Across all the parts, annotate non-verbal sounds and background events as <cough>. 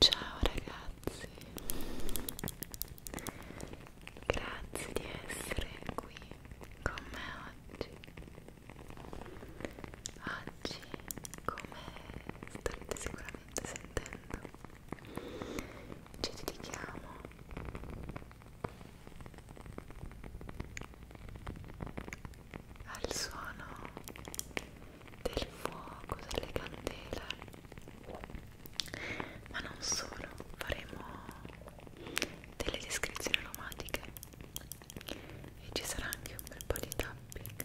Ciao ragazzi, grazie di essere qui con me oggi. Oggi, come starete sicuramente sentendo, ci dedichiamo al suono del fuoco, delle candele ma non solo, faremo delle descrizioni aromatiche e ci sarà anche un bel po' di tapping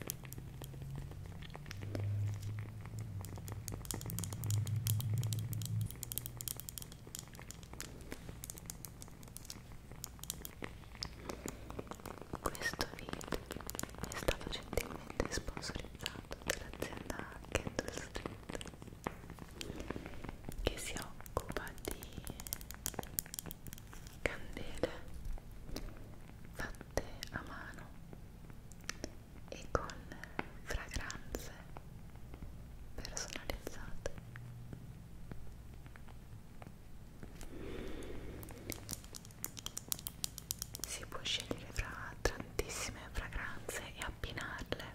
questo video è stato gentilmente sponsorizzato dall'azienda Candle Street che si occupa di candele fatte a mano e con fragranze personalizzate si può scegliere fra tantissime fragranze e abbinarle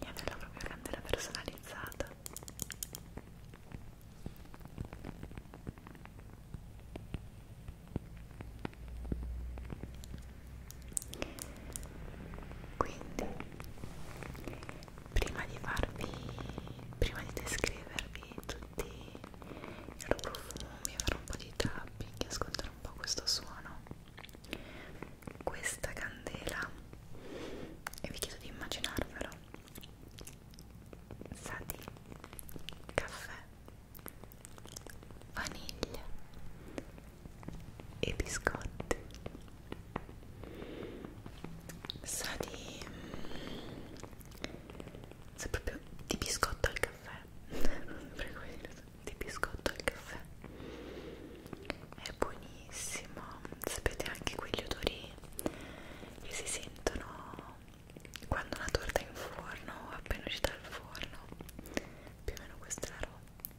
e avere la propria candela personalizzata quindi, prima di farvi, prima di descrivervi tutti i loro profumi e fare un po' di tapping e ascoltare un po' questo suono, questa candela, e vi chiedo di immaginarvelo, sa di caffè, vaniglia e biscotti sa di mm, sa proprio di biscotto al caffè <laughs> Prego, di biscotto al caffè è buonissimo sapete anche quegli odori che si sentono quando una torta è in forno o appena uscita dal forno più o meno questa è la roba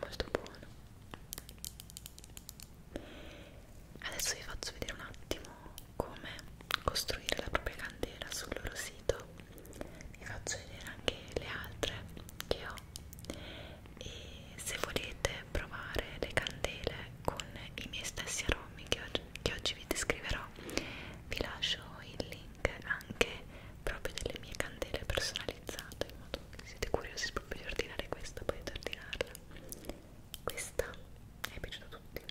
molto buono adesso vi faccio vedere un attimo come costruire la propria candela sul loro sito vi faccio vedere anche le altre che ho e se volete provare le candele con i miei stessi aromi che oggi, che oggi vi descriverò vi lascio il link anche proprio delle mie candele personalizzate in modo che siete curiosi proprio di ordinare questa potete ordinarla questa è piaciuta a tutti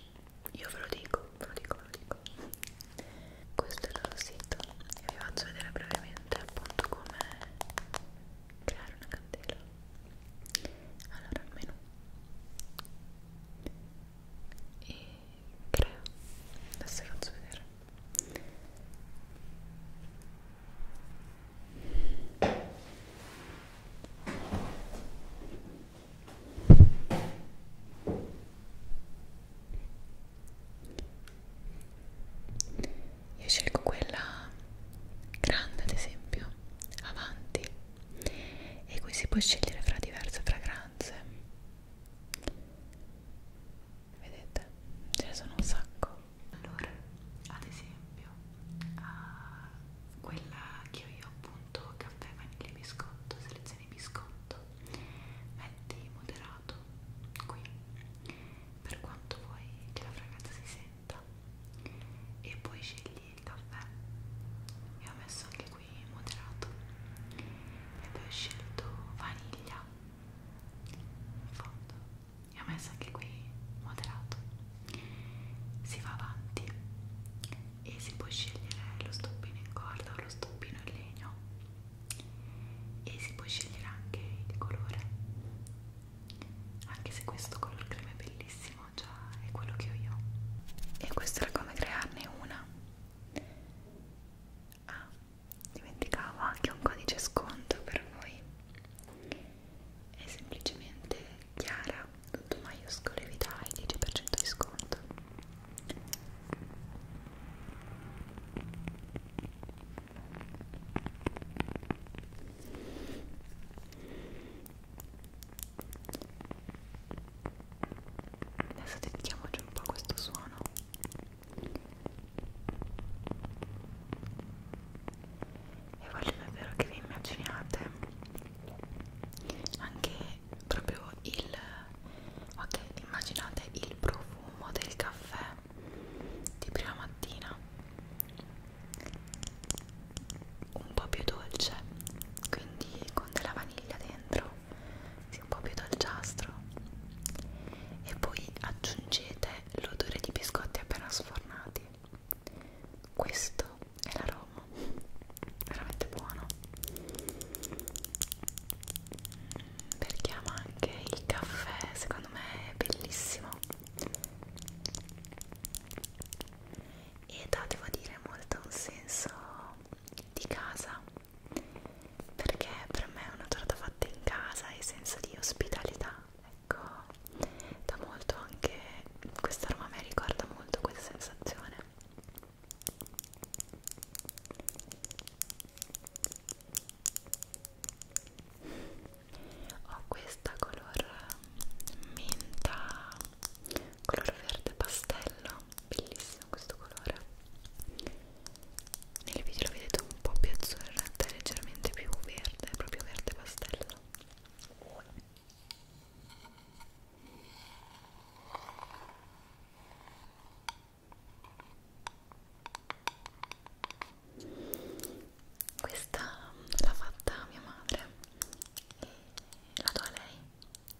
io ve lo dico ve lo dico ve lo dico questo è il loro sito e vi faccio vedere brevemente appunto come creare una candela allora il menu e creo adesso vi faccio vedere io scelgo quella grande ad esempio avanti e qui si può scegliere fra diverse fragranze vedete ce ne sono un sacco allora ad esempio uh, quella che ho io appunto caffè vaniglia e biscotto selezioni biscotto metti moderato qui per quanto vuoi che la fragranza si senta e poi scegli il caffè e ho messo anche qui moderato e poi ho scelto vaniglia in fondo e ho messo anche qui moderato si va avanti e si può scegliere lo stoppino in corda o lo stoppino in legno e si può scegliere anche il colore anche se questo color crema è bellissimo già è quello che ho io e questo era come crearne una ah, dimenticavo anche un codice sconto per voi è semplicemente chiara tutto maiuscolo e vi dà il 10% di sconto Adesso dedichiamoci un po' a questo suono. E voglio davvero che vi immaginiate anche proprio il ok, immaginate il profumo del caffè di prima mattina un po' più dolce quindi con della vaniglia dentro sì, un po' più dolciastro e poi aggiungete l'odore di biscotti appena sfornati questo è l'aroma veramente buono perché ama anche il caffè secondo me è bellissimo ed ha devo dire molto un senso di casa perché per me è una torta fatta in casa e senso di ospitalità ecco da molto anche questa aroma a me ricorda molto questa sensazione ho questa color menta mm, color verde pastello bellissima bellissimo questo colore nel video lo vedete un po' più azzurro in realtà è leggermente più verde proprio verde pastello questa l'ha fatta mia madre e la do a lei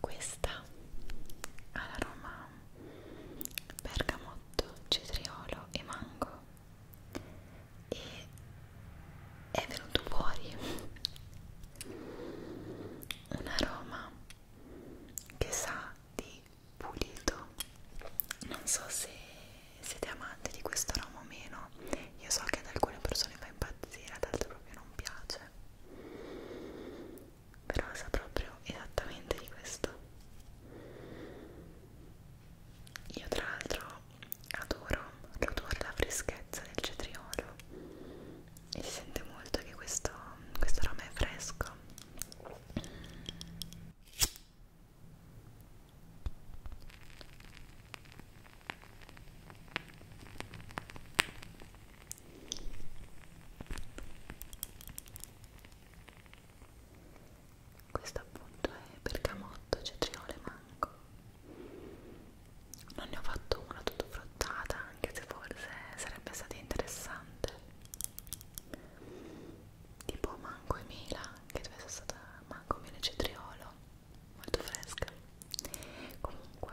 Questa ha l'aroma bergamotto, cetriolo e mango e è venuto fuori un aroma che sa di pulito non so se siete amanti di questo ramo o meno io so che ad alcune persone fa impazzire ad altre proprio non piace però sa proprio esattamente di questo io tra l'altro adoro l'odore la freschezza del cetriolo e si sente molto che questo, questo ramo è fresco questo appunto è bergamotto, cetriole e mango. Non ne ho fatto una tutto fruttata, anche se forse sarebbe stato interessante tipo mango e mela che deve essere stata mango, mela e cetriolo molto fresca comunque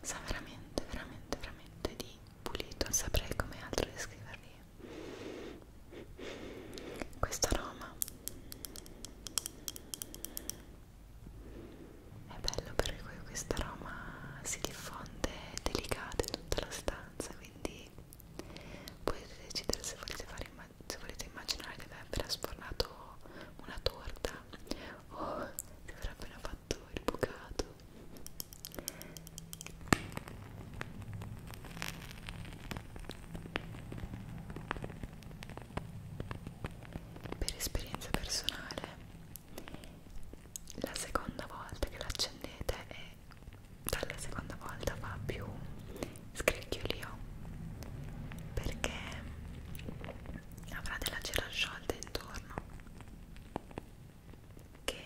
sa veramente veramente veramente di pulito non saprei come altro descrivervi questo aroma è bello perché questo aroma si diffonde delicato in tutta la stanza quindi potete decidere se volete, fare se volete immaginare che vi appena sfornato una torta o che avrà appena fatto il bucato per esperienza personale la seconda volta che l'accendete è dalla seconda volta va più scricchiolio oh. perché avrà della cera sciolta intorno che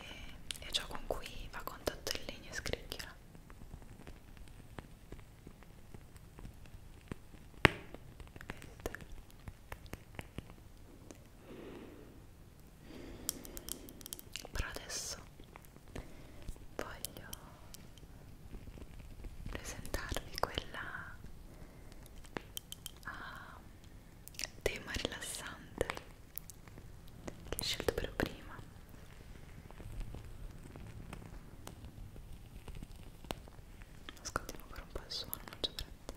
è ciò con cui va a contatto il legno e scricchiola però adesso voglio presentarvi quella a ehm, tema rilassante che ho scelto per prima ascoltiamo ancora un po' il suono non c'è fretta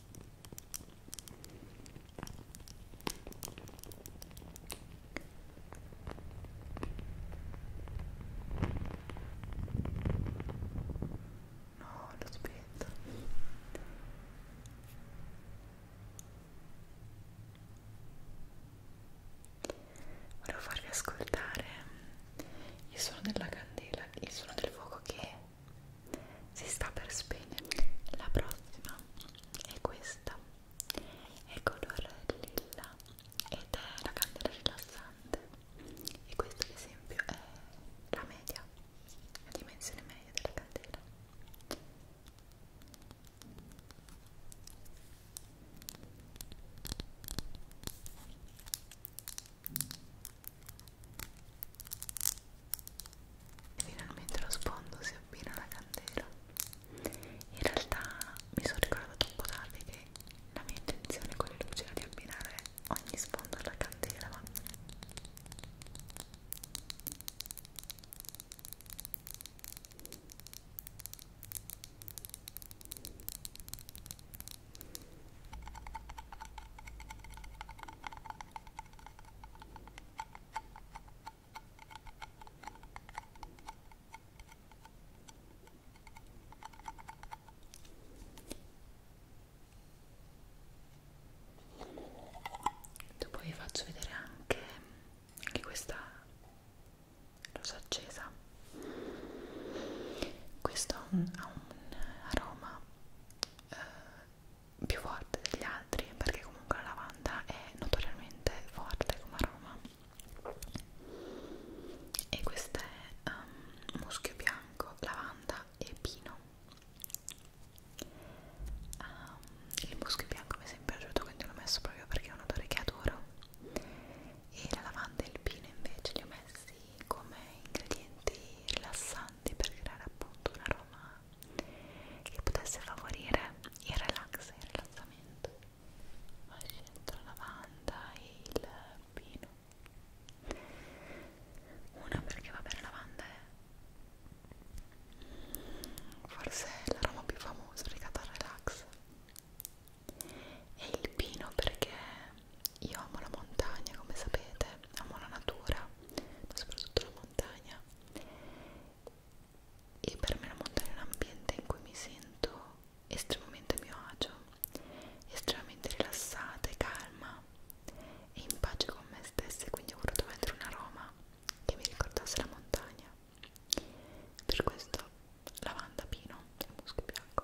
No, lo spento. Volevo farvi ascoltare il suono della candela, il suono del fuoco che si sta per spegnere la prossima è questa è color lilla ed è la candela rilassante e questo ad esempio è la media la dimensione media della candela Finalmente lo sfondo si abbina alla candela. In realtà mi sono ricordata un po' tardi che la mia intenzione con le luci era di abbinare ogni sfondo alla candela, ma Dopo vi faccio vedere anche, anche questa rosa accesa. Questo ha un aroma eh, più forte degli altri perché comunque la lavanda è notoriamente forte come aroma e questo è um, muschio bianco, lavanda e pino um, il muschio bianco mi è sempre piaciuto quindi l'ho messo proprio perché è un odore che adoro e la lavanda e il pino invece li ho messi come ingredienti rilassanti per creare appunto un aroma che potesse favorire il relax e il rilassamento. Ho scelto la lavanda e il pino. Una perché va bene la lavanda eh. è forse l'aroma più famosa legata al relax. E il pino perché io amo la montagna, come sapete, amo la natura ma soprattutto la montagna e per me la montagna è un ambiente in cui mi sento estremamente a mio agio estremamente rilassata e calma e in pace con me stessa e quindi ho voluto mettere un aroma che mi ricordasse la montagna per questo lavanda, pino e musco bianco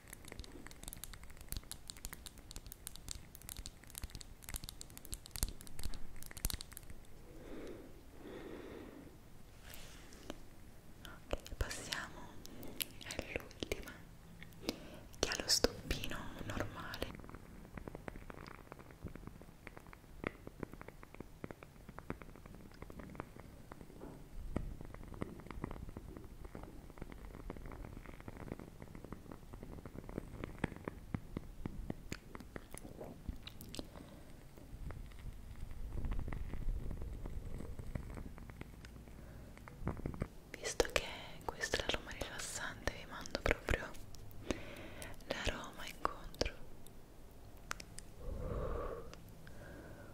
Ok, passiamo all'ultima che ha lo stoppino normale. Visto che questo è l'aroma rilassante, vi mando proprio l'aroma incontro.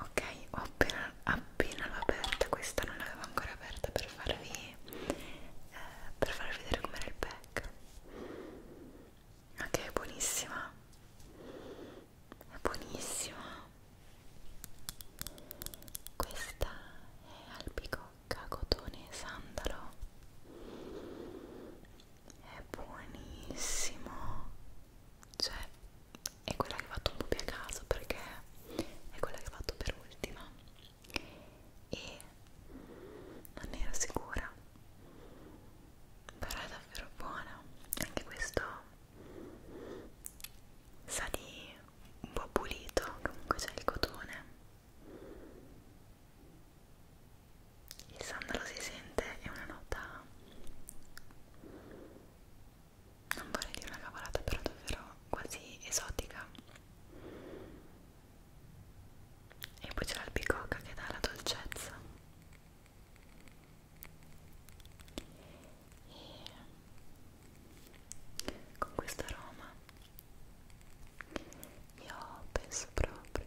ok ho appena, appena l'ho aperta questa non l'avevo ancora aperta per farvi eh, per farvi vedere com'era il pack ok è buonissima è buonissima questa è albicocca cotone e sandalo è buonissimo cioè è quella che ho fatto un po' più a caso perché è quella che ho fatto per ultima e non ero sicura però è davvero buona anche questo sa di un po' pulito comunque c'è il cotone il sandalo si sente è una nota non vorrei dire una cavolata però davvero quasi esotica e poi c'è l'albicocca che dà la dolcezza e con questo aroma io penso proprio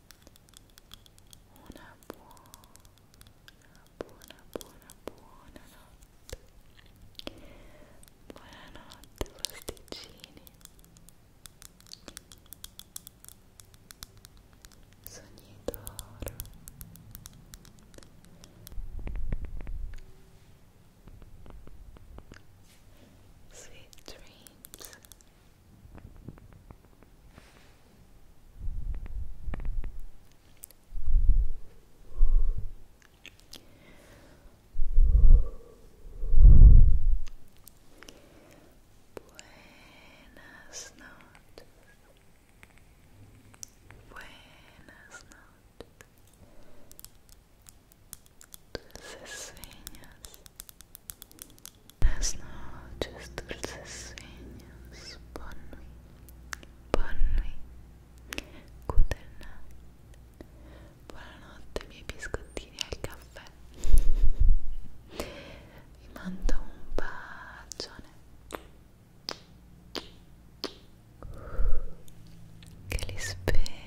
Una buona, buona, buona, buona notte. Buonanotte, pasticcini. Sogni d'oro. Sweet dreams. Buenas noches. Buenas noches. Dulces sueños. Buenas noches, dulces sueños. Bonne nuit. Bonne nuit. Good night. Buonanotte, miei biscottini al caffè. Vi mando un bacione. Che li spera.